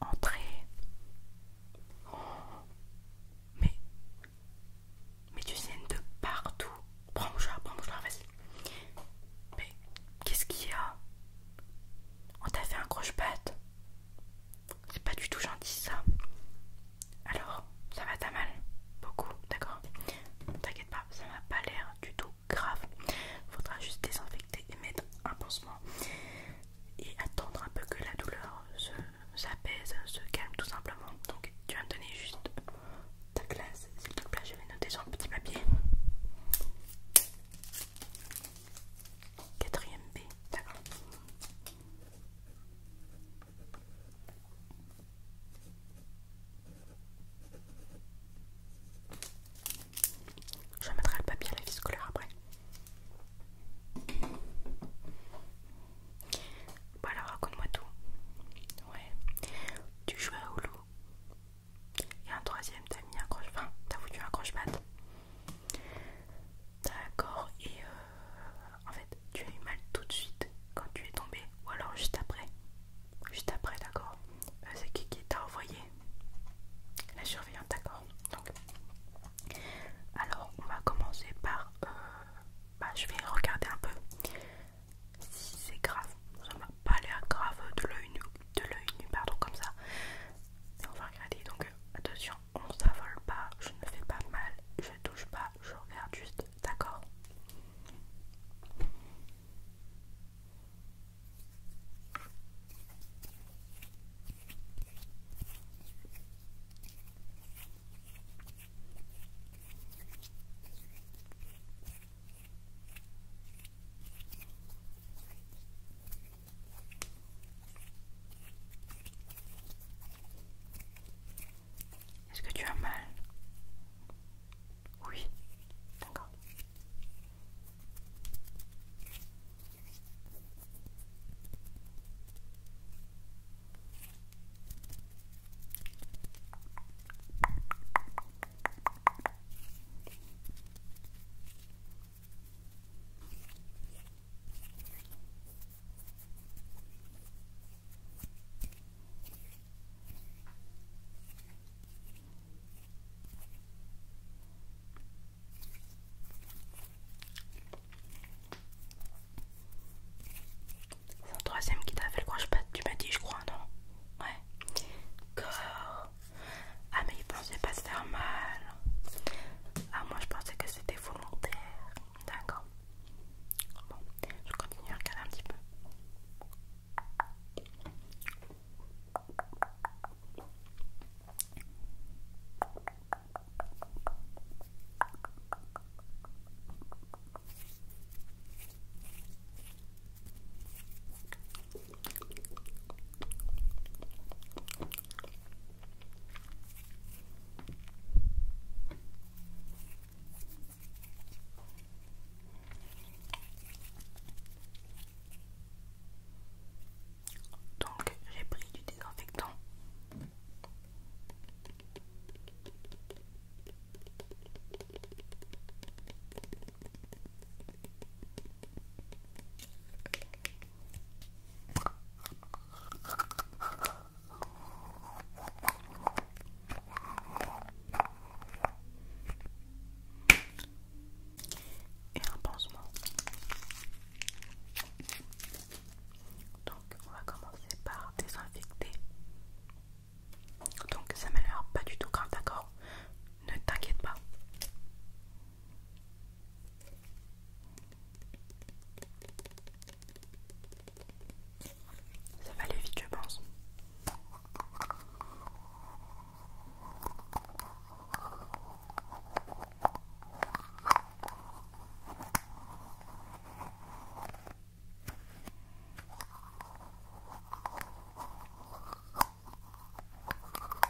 Entrez. Oh. Mais, mais tu saignes de partout. Prends mon prends vas-y. Mais qu'est-ce qu'il y a On t'a fait un croche-patte. C'est pas du tout gentil ça. Alors, ça va pas mal Beaucoup, d'accord Ne T'inquiète pas, ça n'a pas l'air du tout grave. Il Faudra juste désinfecter et mettre un pansement et attendre un peu que la douleur s'apaise, se, calme tout simplement. Donc, tu vas me donner juste ta classe, s'il te plaît. Je vais noter sur un petit papier. Quatrième B, d'accord. Je remettrai le papier à la vie scolaire après. Voilà, alors raconte-moi tout. Ouais. Tu jouais au loup. Et un troisième, t'as mis un croche. Enfin, t'as voulu un croche D'accord. Et euh, en fait, tu as eu mal tout de suite quand tu es tombé, ou alors juste après. Juste après, d'accord euh, C'est qui qui t'a envoyé La surveillante, d'accord Donc, alors on va commencer par. Euh, bah, je vais regarder un peu si c'est grave. Ça va pas l'air grave de l'œil nu, de l'œil nu, pardon, comme ça. on va regarder donc, attention, on s'avole pas, je ne fais pas mal, je touche pas, je regarde juste, d'accord est-ce que tu as mal Oui, d'accord. C'est un troisième qui t'a fait le croche pas, tu m'as dit je crois, non Ouais. Ah mais il pensait pas se faire mal. Ah moi je pensais que c'était volontaire. D'accord. Bon, je continue à regarder un petit peu. Donc j'ai pris du désinfectant. Et un pansement. Donc on va commencer par désinfecter. Donc ça m'a l'air pas du tout grave, d'accord Ne t'inquiète pas. Ça va aller vite, je pense.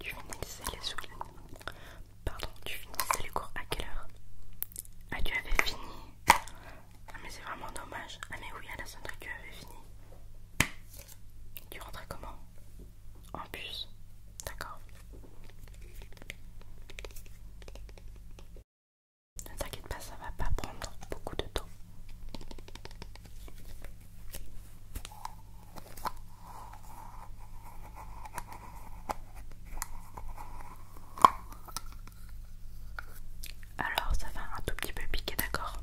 Tu finissais les Pardon, tu cours à quelle heure Ah, tu avais fini. Ah, mais c'est vraiment dommage. Ah, mais oui, à la sonnerie, tu avais fini. Tu rentrais comment En bus. D'accord. Ne t'inquiète pas, ça va pas prendre beaucoup de temps. Alors ça va un tout petit peu piquer, d'accord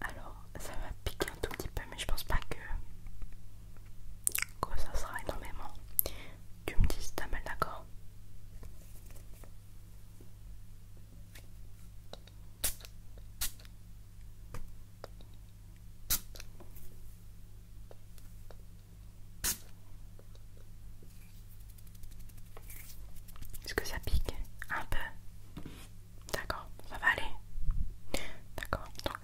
Alors, ça va piquer un tout petit peu, mais je pense pas que, ça sera énormément. Tu me dis si t'as mal, d'accord est-ce que ça pique un peu D'accord, ça va aller. D'accord. Donc...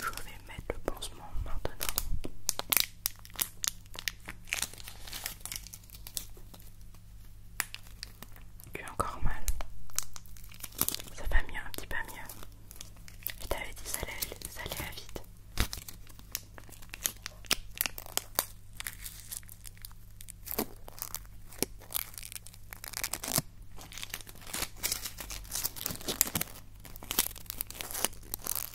Je vais mettre le pansement maintenant. Tu encore mal. Ça va mieux, un petit peu mieux. Et t'avais dit ça allait, ça allait vite.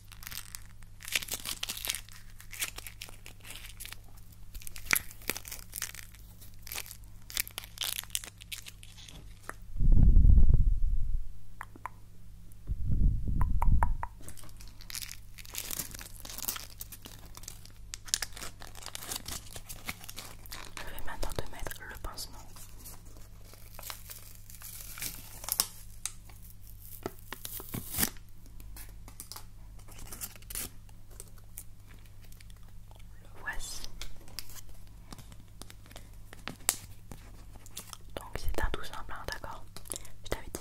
Je vais maintenant te mettre le pansement le voici. Donc c'est un tout simple, hein, d'accord Je t'avais dit.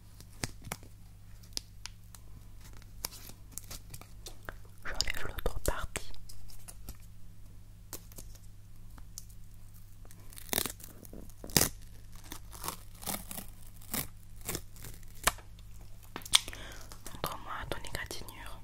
J'enlève l'autre partie. Montre-moi ton égratignure.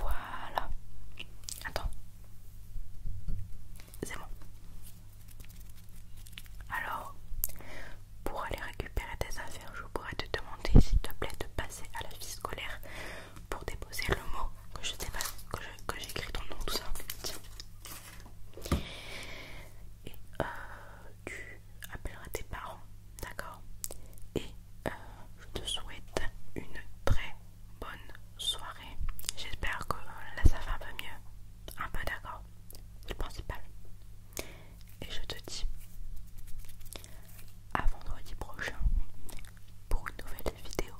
Voilà. Attends. C'est bon. Alors, pour aller récupérer tes affaires, je pourrais te demander s'il te plaît de passer à la vie scolaire pour déposer le mot que je sais pas que j'écris ton nom, tout ça. Et euh, tu appelleras tes parents, d'accord Et euh, je te souhaite une très bonne soirée. J'espère que euh, là ça va un peu mieux. Un peu d'accord, c'est le principal. Et je te dis à vendredi prochain pour une nouvelle vidéo.